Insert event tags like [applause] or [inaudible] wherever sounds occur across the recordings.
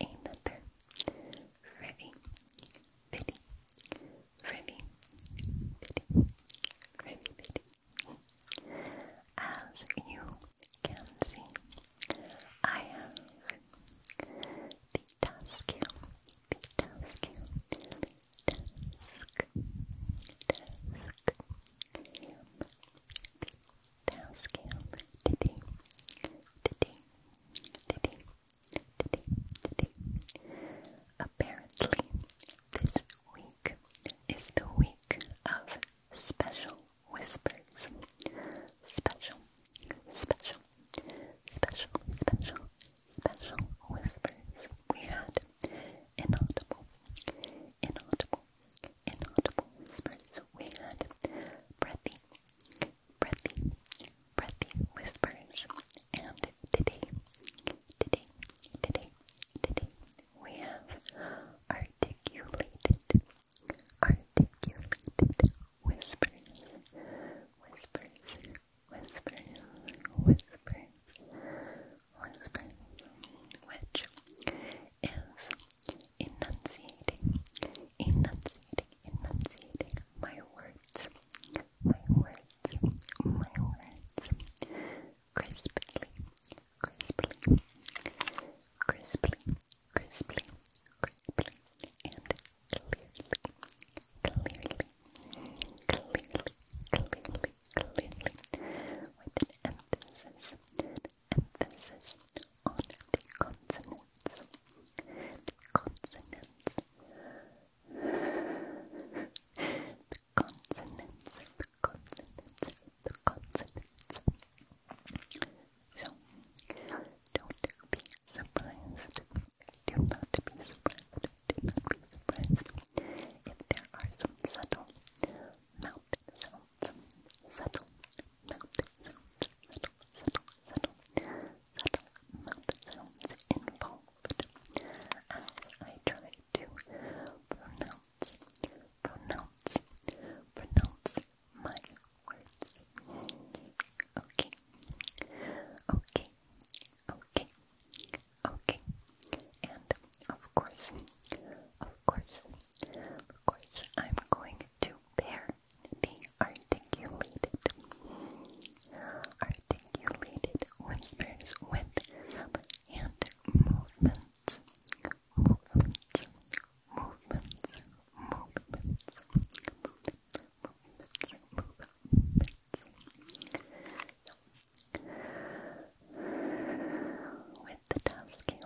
another Revy Biddy Revy Biddy Revy Biddy. As you can see, I have the task, the task, task, task, task, task, Diddy, Diddy, Diddy, today, today. Apparently, this week is the week of special whispers. Special, special, special, special, special whispers. We had inaudible, inaudible, inaudible whispers. We had breathy, breathy, breathy whispers. And today, today, today, today, we have articulated, articulated whispers, whispers, whispers, whispers, whispers, which is enunciating, enunciating, enunciating my words, my words, my words, crisply, crisply, crisply, crisply, crisply, and clearly, clearly, clearly, clearly, clearly, with an emphasis, emphasis on the consonants consonants. the consonants, the consonants, the consonants. So, don't be surprised. Do not be surprised. Do not be surprised if there are some subtle mouth sounds, subtle subtle, subtle subtle, subtle mouth sounds involved as I try to pronounce, pronounce, pronounce my words. Okay, okay, okay, okay, and of course, of course, of course, I'm going to pair the articulated articulated whispers with hand movements movements movements movements movements movements movements with the tasking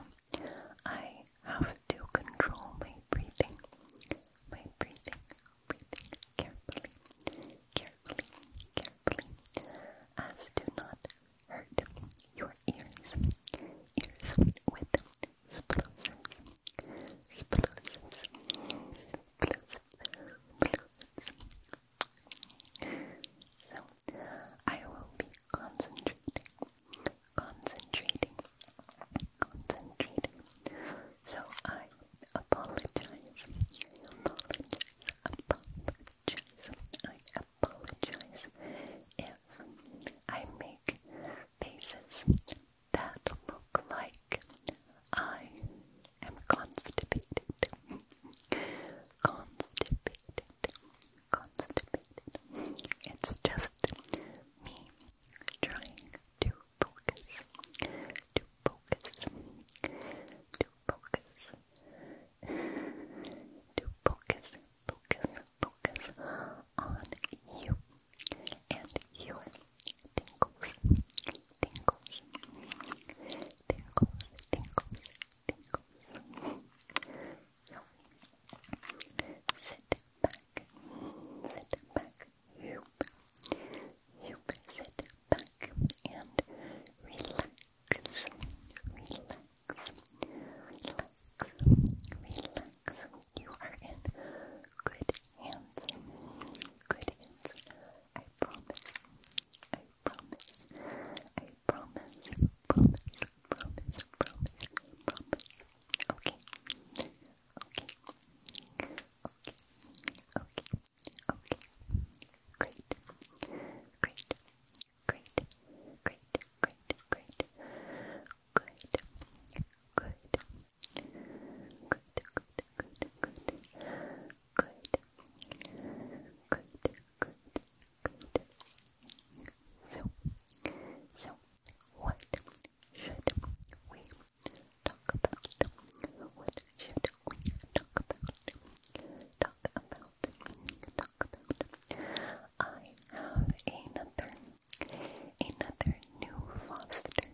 I have to control my breathing my breathing carefully, carefully, carefully, as to not hurt your ears. Ears with explosives, explosives, explosives, explosives. So I will be concentrating, concentrating concentrating. So I apologize. Apologize. Apologize. I apologize if I make faces that look like I am constipated. constipated. Constipated. It's just me trying to focus, to focus, to focus, to focus, focus, focus on you and your tingles, tingles, tingles, tingles, tingles. sit back, sit back, hoop, hoop, sit back and relax, relax, relax, relax. You are in good hands, good hands. I promise, I promise, I promise, promise, promise, promise, promise. Okay. Okay. Okay. Okay. Okay. Great. Great. Great. Great. Great. Great. Good. Good. Good. Good. Good. Good. Good. Good. Good. Good. So, so what should we talk about? What should we talk about? Talk about, talk about. I have another, another new foster,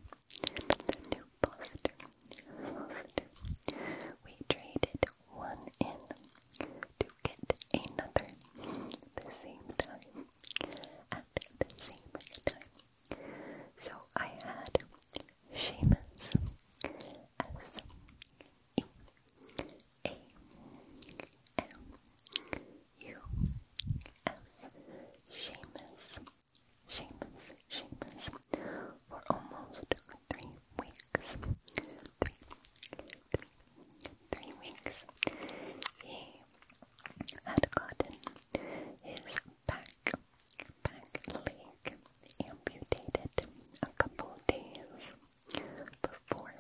new foster, foster. We traded one in to get another the same time at the same time so I had Seamus S E A M U S Seamus Seamus Seamus for almost three weeks. three weeks. He had gotten his back, back leg amputated a couple days before,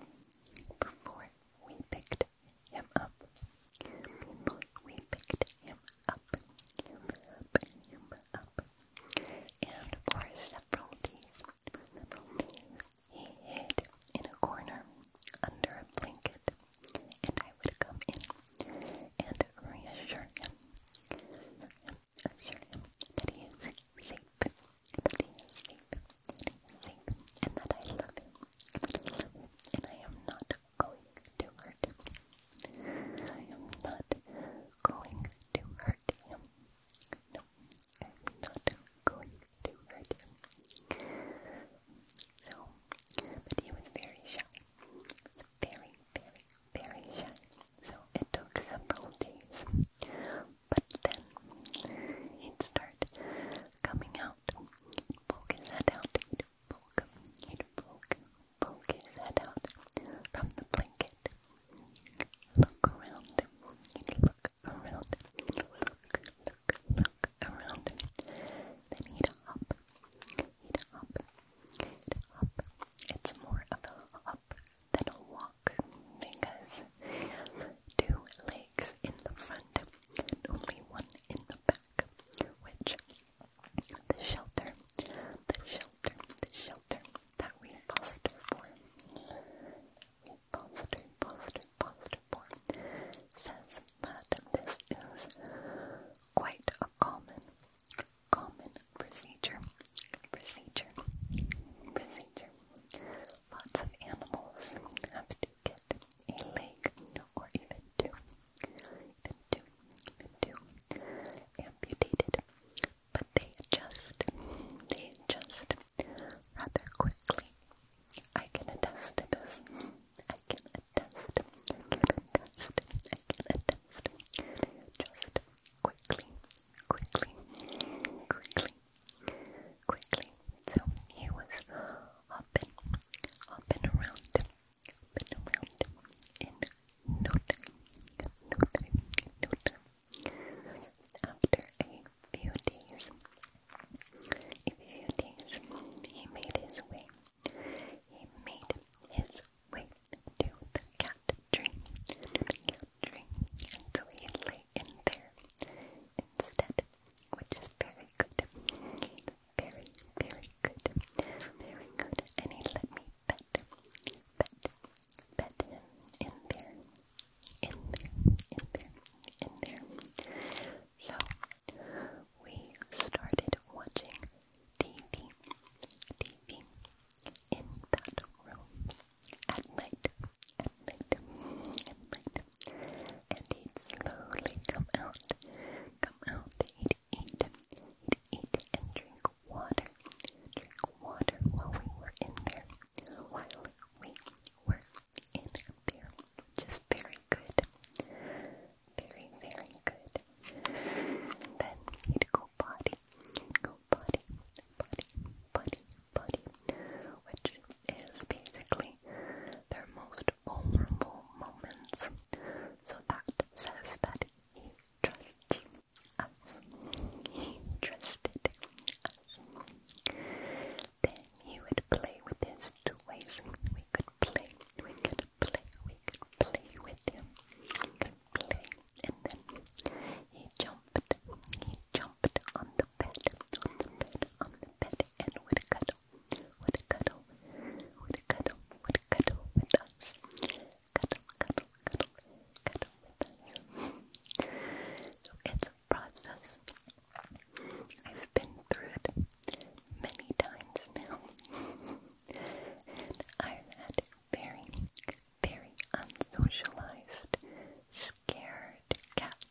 before we picked him up. Before we picked him up, him up, him up. And for several days, several days, he hid in a corner under a blanket and I would come in and reassure him, assure him that he is safe, that he is safe, safe, and that I love him, and I am not going to hurt him. I am not going to hurt him. No, I am not going to hurt him. So, but he was very shy. Very, very, very shy. So it took several days. But then he'd coming out. poke his head out. He'd poke, he'd poke, poke his head out from the blanket. Look around. look around. Look, look, look around. Then he'd hop. It hop. It hop. It's more of a hop than a walk because two legs in the front only one in the back, which the shelter, the shelter, the shelter that we foster for, we foster, foster, foster for, says that this is quite a common, common procedure, procedure, procedure. Lots of animals have to get a leg, or even two, even two, amputated. But they adjust, they adjust rather quickly. I can attest to this. I can attest, I I can attest. Just quickly, quickly, quickly, quickly. So he was hopping, hopping around, hopping around in no time, no After a few days, a few days, he made his way he made his way to the cat tree, and so he lay in there instead, which is very good. Very, very good. Very good. And he let me pet, pet, pet in there, in there, in there, in there. So, we started watching TV, TV in that room at night, at night, at night. And he slowly come out, come out, he'd eat, he eat and drink water, drink water while we were in there, while we were in there, which very good very, very good. then you'd go body, go body, body, body, body, which is basically their most vulnerable moments. So that says that he trusts us. He trusted us. Then he would play with his there's two ways we could play. We could play, we could play with him. We could play. And then he jumped, he jumped on the bed, on the bed, on the bed, and would cuddle, would cuddle, would cuddle, would cuddle with us. Cuddle, cuddle, cuddle, cuddle with us. So it's a process. I've been through it many times now. I'm [laughs] at very, very unsocialized, scared cats.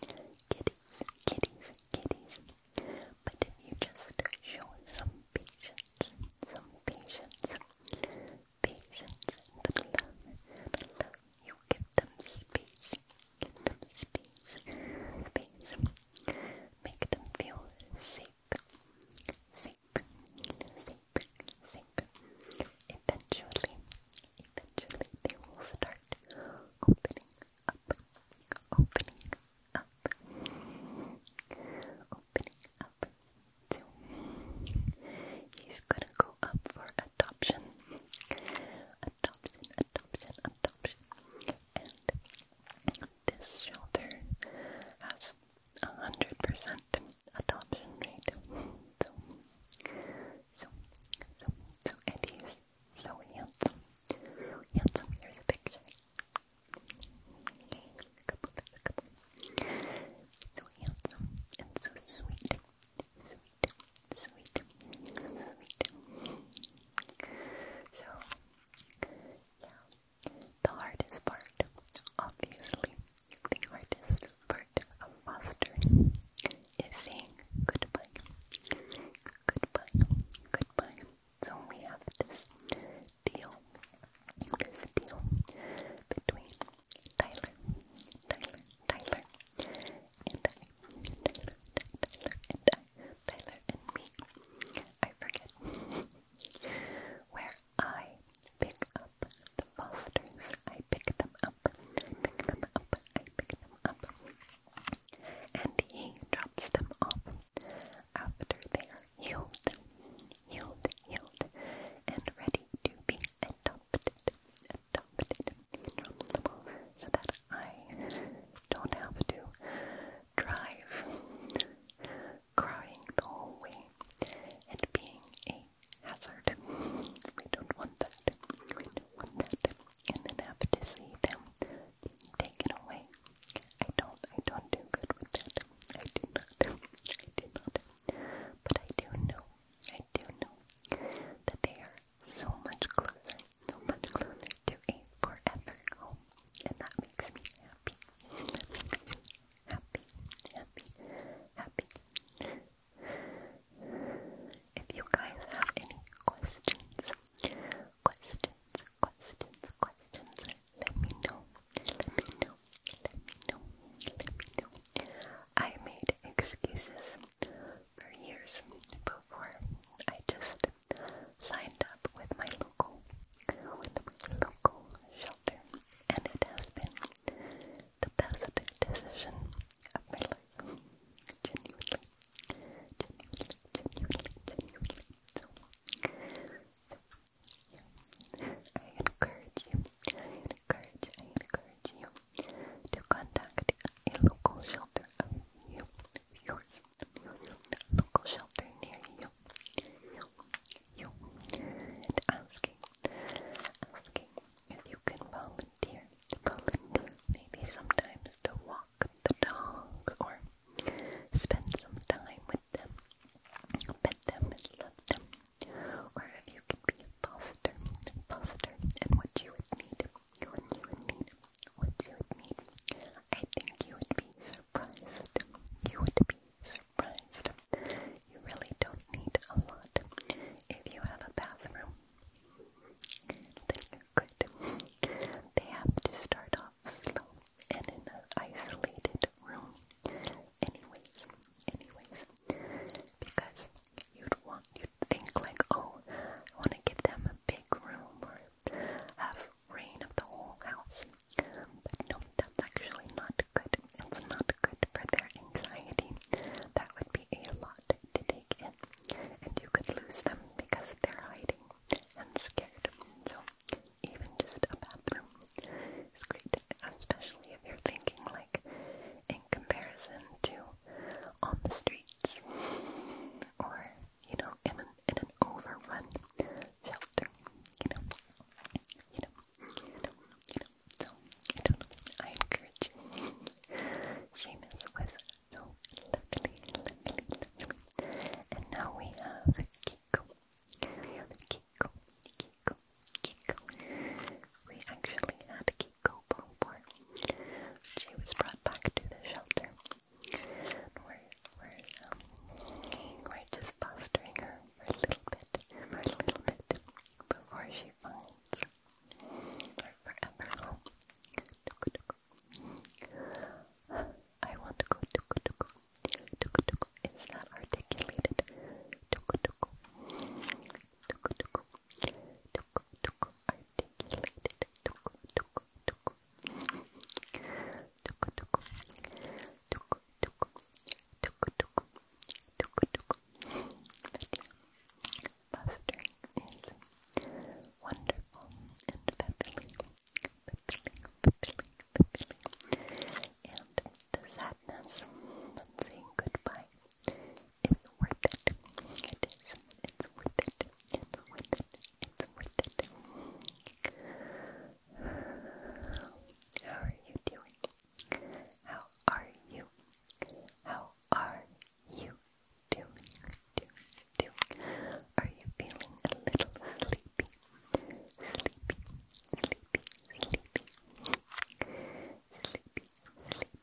Kitties, kitties, kitties. But if you just show some patience, some patience, patience and love, love, you give them space. Give them space, space. Make them feel safe, safe, safe, safe. Eventually, eventually they will start opening up, opening up, opening up. Too. He's gonna go up for adoption, adoption, adoption, adoption, and this shelter has a hundred percent adoption rate. So, so, so, so so handsome. Handsome. Here's a picture. Okay, a couple, a So handsome and so sweet, sweet, sweet, sweet. So, yeah, the hardest part, obviously, the hardest part of fostering is saying goodbye, goodbye, goodbye. So we have this deal, this deal between Tyler, Tyler, Tyler, and I, Tyler, Tyler, and Tyler and me. I forget. [laughs] Where I pick up the fosters. I pick them up. pick them up. I pick them up. And he drops them off after they are healed, healed, healed, and ready to be adopted. Adopted. He so that I don't have to drive, crying the whole way, and being a hazard. We don't want that. We don't want that. And then have to see them taken away. I don't. I don't do good with that. I do not. I do not. But I do know. I do know that they are so much closer, so much closer to a forever home and that makes me happy. happy, happy, happy. If you guys have any questions, questions, questions, questions, let me know. Let me know. Let me know. Let me know. I made excuses for years, for. I just signed up with my local, local shelter, and it has been the best decision of my life. Genuinely, genuinely, genuinely, genuinely. So, so yeah. I encourage you. encourage. I encourage you to contact a local shelter shelter of you, yours, local shelter near you, and asking, if you can volunteer, maybe sometimes to walk the dog or spend some time with them, pet them and love them, or if you can be a foster, foster, and what you would need, you would need, what you would need, I think you would be surprised. You would be surprised. You really don't need a lot. If you have a bathroom, then you They have to start off slow and in an isolated room. Anyways, anyways, because you'd want, you'd think like, oh, I want to give them a big room or have rain of the whole house. But no, that's actually not good. It's not good for their anxiety. That would be a lot to take in, and you could lose them because they're hiding and scared. So, even just a bathroom is great, especially if you're thinking like in comparison to on the streets or you know even in an overrun shelter, you know, you know, you know, you know. So I encourage you. [laughs] was so lovely, lovely, And now we have Kiko. We have Kiko, Kiko, Kiko. We actually had Kiko Bonbon. She was brought back to the shelter we're, we're, um, we're just fostering her for a little bit, for a little bit, before she finds her forever home. I want to go, tuku tuku, tuku tuku, is not articulated, tuku tuku, tuku tuku, tuku tuku, articulated, tuku tuku tuku, Fostering is wonderful and fulfilling, fulfilling, fulfilling, fulfilling. And the sadness of saying goodbye is worth it. It is. It's worth it. It's worth it. It's worth it it's worth it. How are you doing? How are you? How are you doing? Doing, doing. Are you feeling a little sleepy? Sleepy, sleepy, sleepy. Sleepy,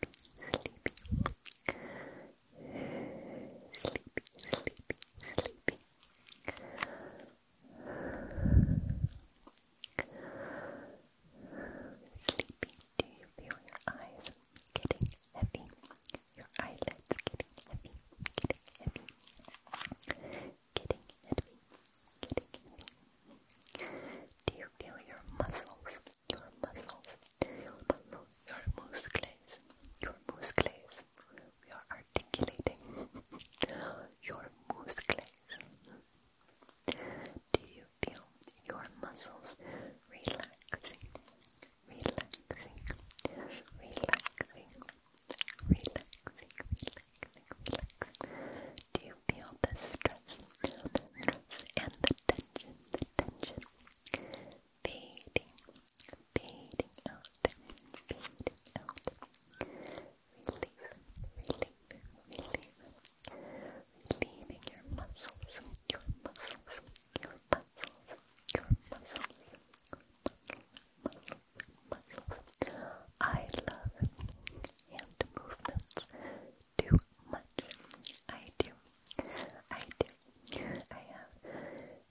sleepy, sleepy sleepy, sleepy, sleepy. Sleepy, do you feel your eyes getting heavy? Your eyelids getting heavy, getting heavy, getting heavy, getting heavy. Do you feel your muscles, your muscles, your muscles, your muscles, your muscles muscles. We are articulating [laughs] your muscles. Do you feel your muscles relaxing? Relaxing, relaxing, relaxing, relaxing, relaxing. Do you feel the stress, the stress and the tension, the tension fading, fading out, fading out. Relief, relief, your muscles, your muscles, your muscles, your muscles, muscles, muscles, muscles. I love hand movements too much. I do. I do. I have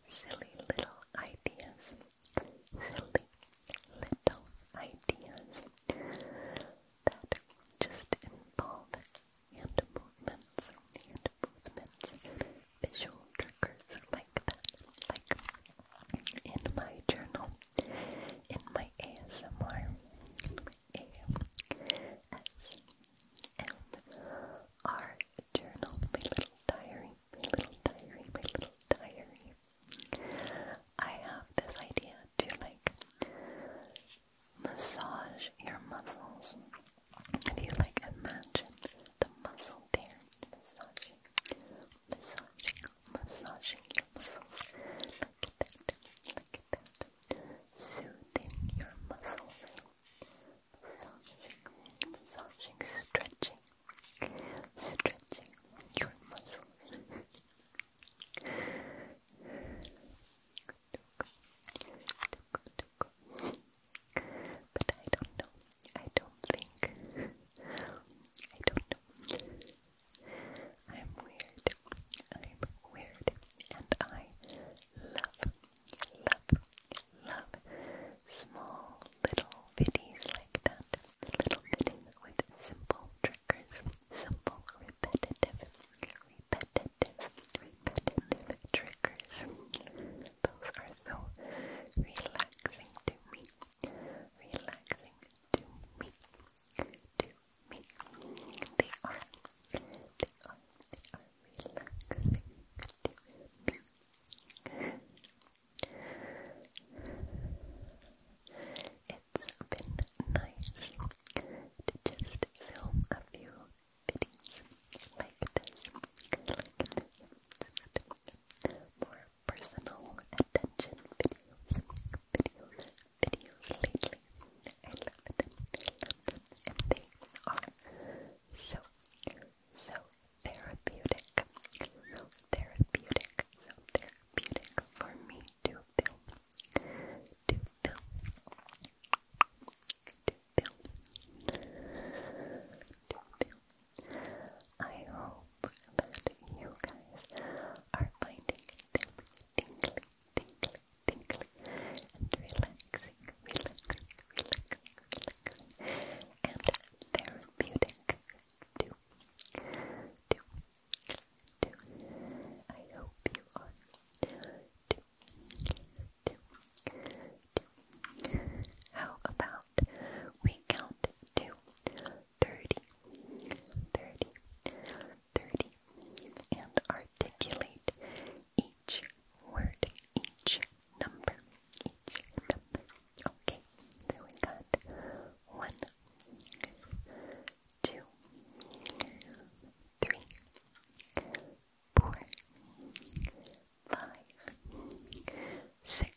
silly little ideas. Silly little ideas that just involve hand movements, hand movements, visual triggers like that. Like in my journal, in my ASMR, ASMR journal, my little diary, my little diary, my little diary. I have this idea to like massage your muscles. If you like imagine the muscle there massaging, massaging, massaging your muscles like that, like that, soothing your muscles massaging, massaging, stretching, stretching your muscles. but I don't know. I don't think. I don't know. I'm weird. I'm weird, and I love, love, love small little videos like that. Little videos with simple triggers, simple repetitive, repetitive, repetitive triggers. Those are so relaxing to me. Relaxing to me. To me. They are. They are. They are relaxing to It's been nice to just film a few videos like this, like more personal attention videos, videos, videos lately. and they are so, so therapeutic, so therapeutic, so therapeutic for me to film, to film, to film, to film. I hope that you guys are finding tingly, tingly, tingly, tingly, and relaxing, relaxing, relaxing, relaxing and therapeutic too. Too. Too. I hope you are too. Too. Too. How about we count to 30, and articulate each word, each number, each Okay, so we got one, two, three, four, five, six,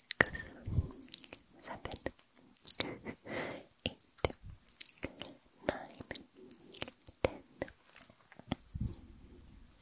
seven, eight, nine, ten.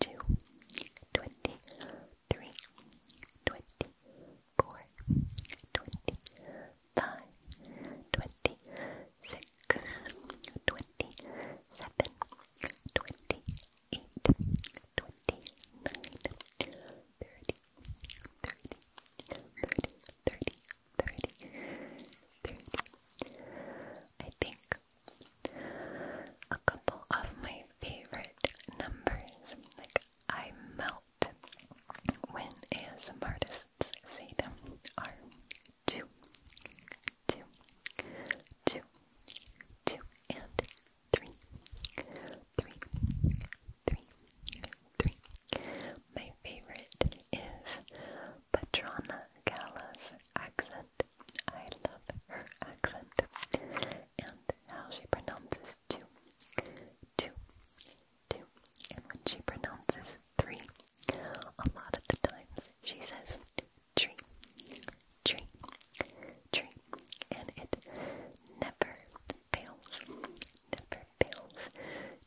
two, twenty, three, twenty, four, twenty, five, twenty, six, twenty, seven, twenty, eight, twenty, nine, thirty, thirty, thirty, thirty, thirty, thirty. I think a couple of my favorite numbers. Like, I melt when ASM artists say them are two, two, two, two, and three, three, three, three. My favorite is Patrona Gala's accent I love her accent and how she pronounces two, two, two. And when she pronounces three, a lot of the times she says tree, tree, tree. And it never fails, never fails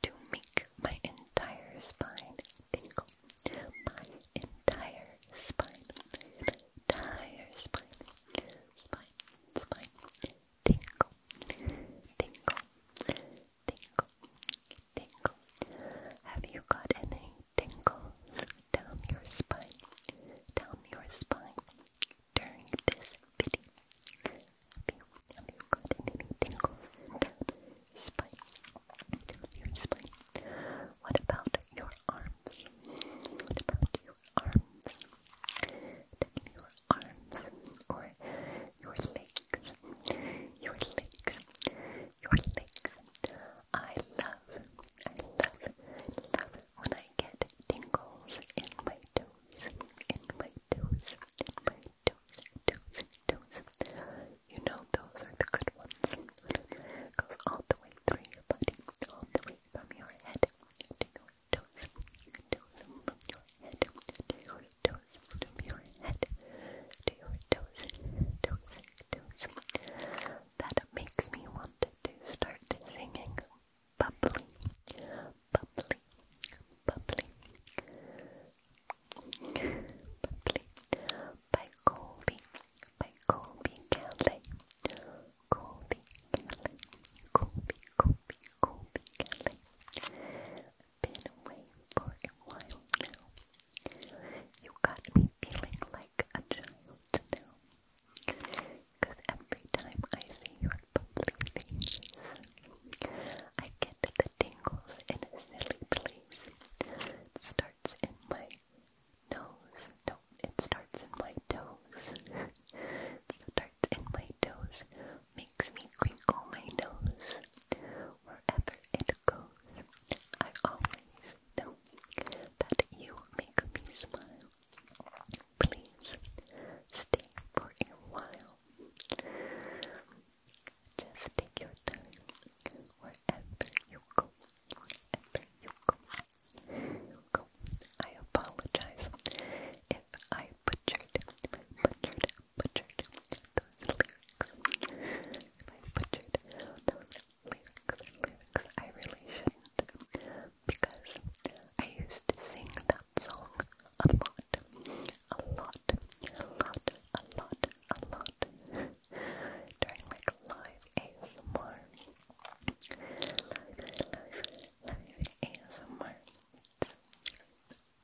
to make my entire spine tingle, my entire spine, entire spine, spine, spine, tingle, tingle, tingle, tingle. Have you got any tingles down your spine, down your spine during this video? Have you, have you got any tingles spine. Your spine. What about your arms? What about your arms? your arms or your legs. Your legs. Your legs. I love, I love, love when I get tingles in my toes. In my toes. In my toes. Toes. Toes. You know those are the good ones. goes all the way through your body, all the way from your head to your toes, toes head to your toes, from your head to your toes, toes, toes. That makes me want to start singing bubbly, bubbly, bubbly. Bubbly by Colby by Colby Kelly. Colby Kelly. Colby, Colby, Colby Kelly. Been away for a while now. You got me feeling like a child now. every time I see your lovely face, I get the tingles in a silly place. starts in my nose. No, it starts in my toes. [laughs] it starts in my toes. Makes me crinkle my nose. Wherever it goes, I always know that you make me smile. Please stay for a while. Just take your time wherever you go. I apologize if I butchered, butchered, lyrics. If I butchered those lyrics, I really should Because I used to sing that song a lot. A lot, a lot, a lot, a lot during like live ASMR. Live, live, live ASMR.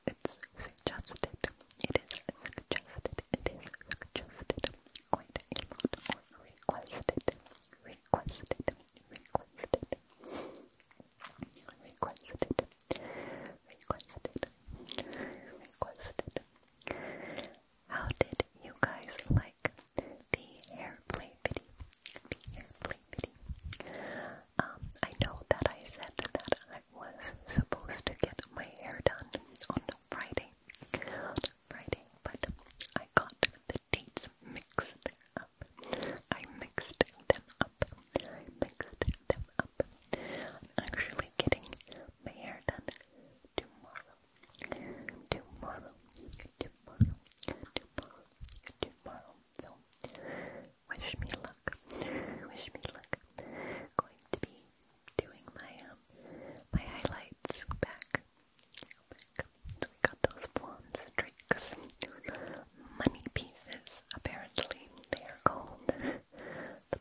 It's, it's suggested. It is suggested. It is suggested quite requested. Requested. Requested. Requested. Requested. Requested. How did you guys like the airplay video? video. Um, I know that I said that I was supposed to get my hair done on Friday. Friday, but I got the dates mixed up. I mixed them up. I mixed them up. actually getting my hair done tomorrow tomorrow, tomorrow, tomorrow, tomorrow. wish me luck. Wish me luck. Going to be doing my um my highlights back. we got those blonde streaks, money pieces. Apparently, they are called the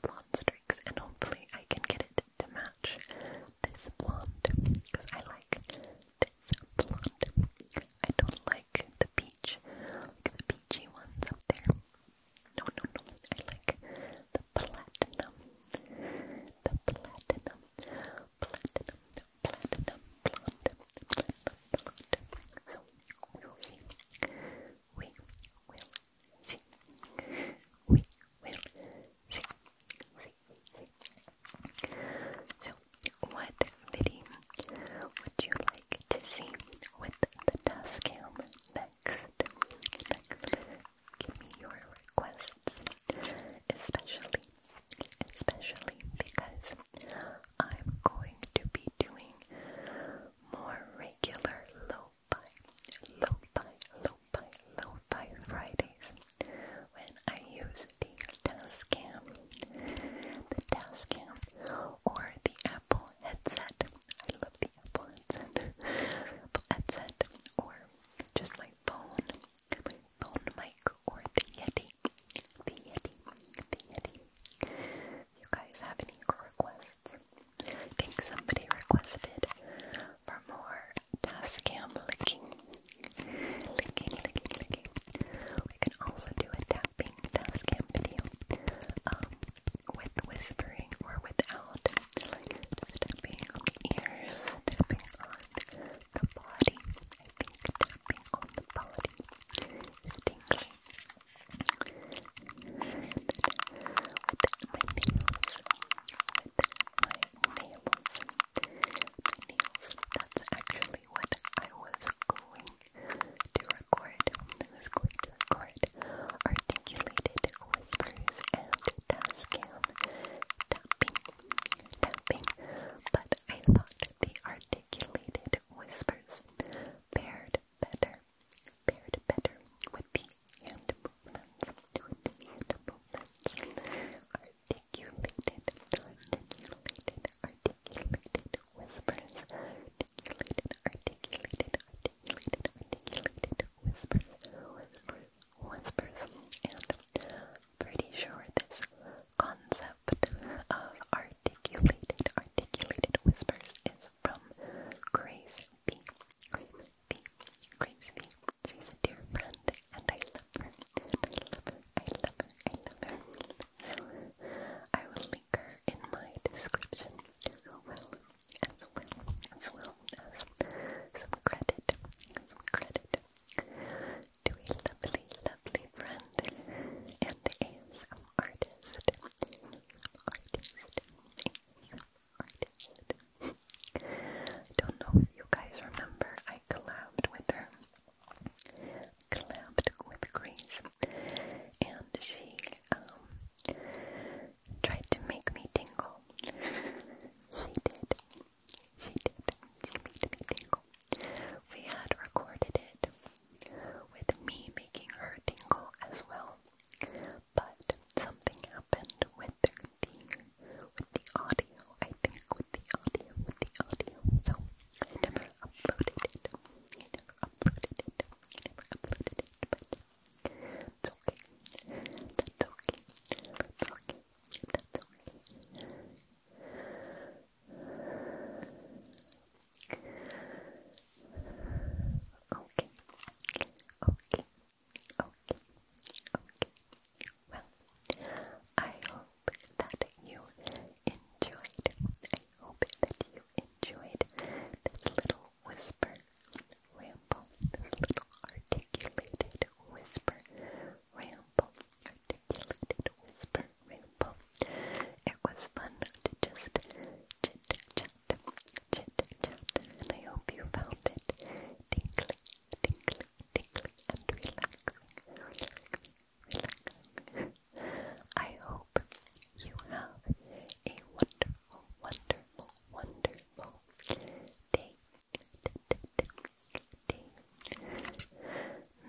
blonde matrix and hopefully I can get it to match this blonde because I like this blonde. I don't like the peach, the peachy ones up there. No, no, no. I like the platinum. The platinum. Platinum. Platinum blonde. Platinum So we will see. We will see. So, what video would you like to see with the dust cam next? Give me your requests, especially, especially because I'm going to be doing more regular low lo-fi, lo-fi, lo-fi, lo-fi Fridays when I use the Tascam, the Tascam, or the Apple headset. I love the Apple headset, Apple headset, or just my phone, my phone mic, or the Yeti, the Yeti, the Yeti. If you guys have any requests? I think somebody requested for more Tascam licking. Licking, licking, licking. We can also do a tapping Tascam um, with whispering or without. Like tapping on the ears, tapping on the body. I think tapping on the body is tingly my nails. That's actually what I was going to record. I was going to record articulated whispers and tascam tapping, tapping. But I thought the articulated whispers paired better, paired better with the articulated, articulated, whispers, articulated, articulated, articulated, articulated whispers, whispers, whispers, and pretty sure this concept of articulated, articulated whispers is from Grace Crispy, Crispy, Crispy. She's a dear friend, and I love her. I love her. I love her. I love her. So I will link in my description as well, as well, as well as some credit, some credit to a lovely, lovely friend and ASM artist, artist. I don't know if you guys remember, I collabed with her. Collabed with Grace, and she um, tried to make me tingle. she did. She did. She made me tingle. We had recorded it with me making her tingle as well, but something happened with the with the audio, I think, with the audio, with the audio. So I never uploaded it. I never uploaded it. I never uploaded it, but it's okay. That's okay. That's okay. That's Okay. Okay. Okay. Okay, okay. Well, I hope that you enjoyed. I hope that you enjoyed this little whisper ramble, this little articulated whisper ramble, articulated whisper ramble. It was fun to just chit chat, chit chat, and I hope you found it tingling, tingling, tingling, and relaxing, relaxing, relaxing. I hope you have a wonderful, wonderful, wonderful day, day, day,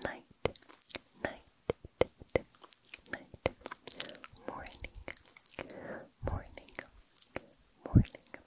night, night, night, morning, morning, morning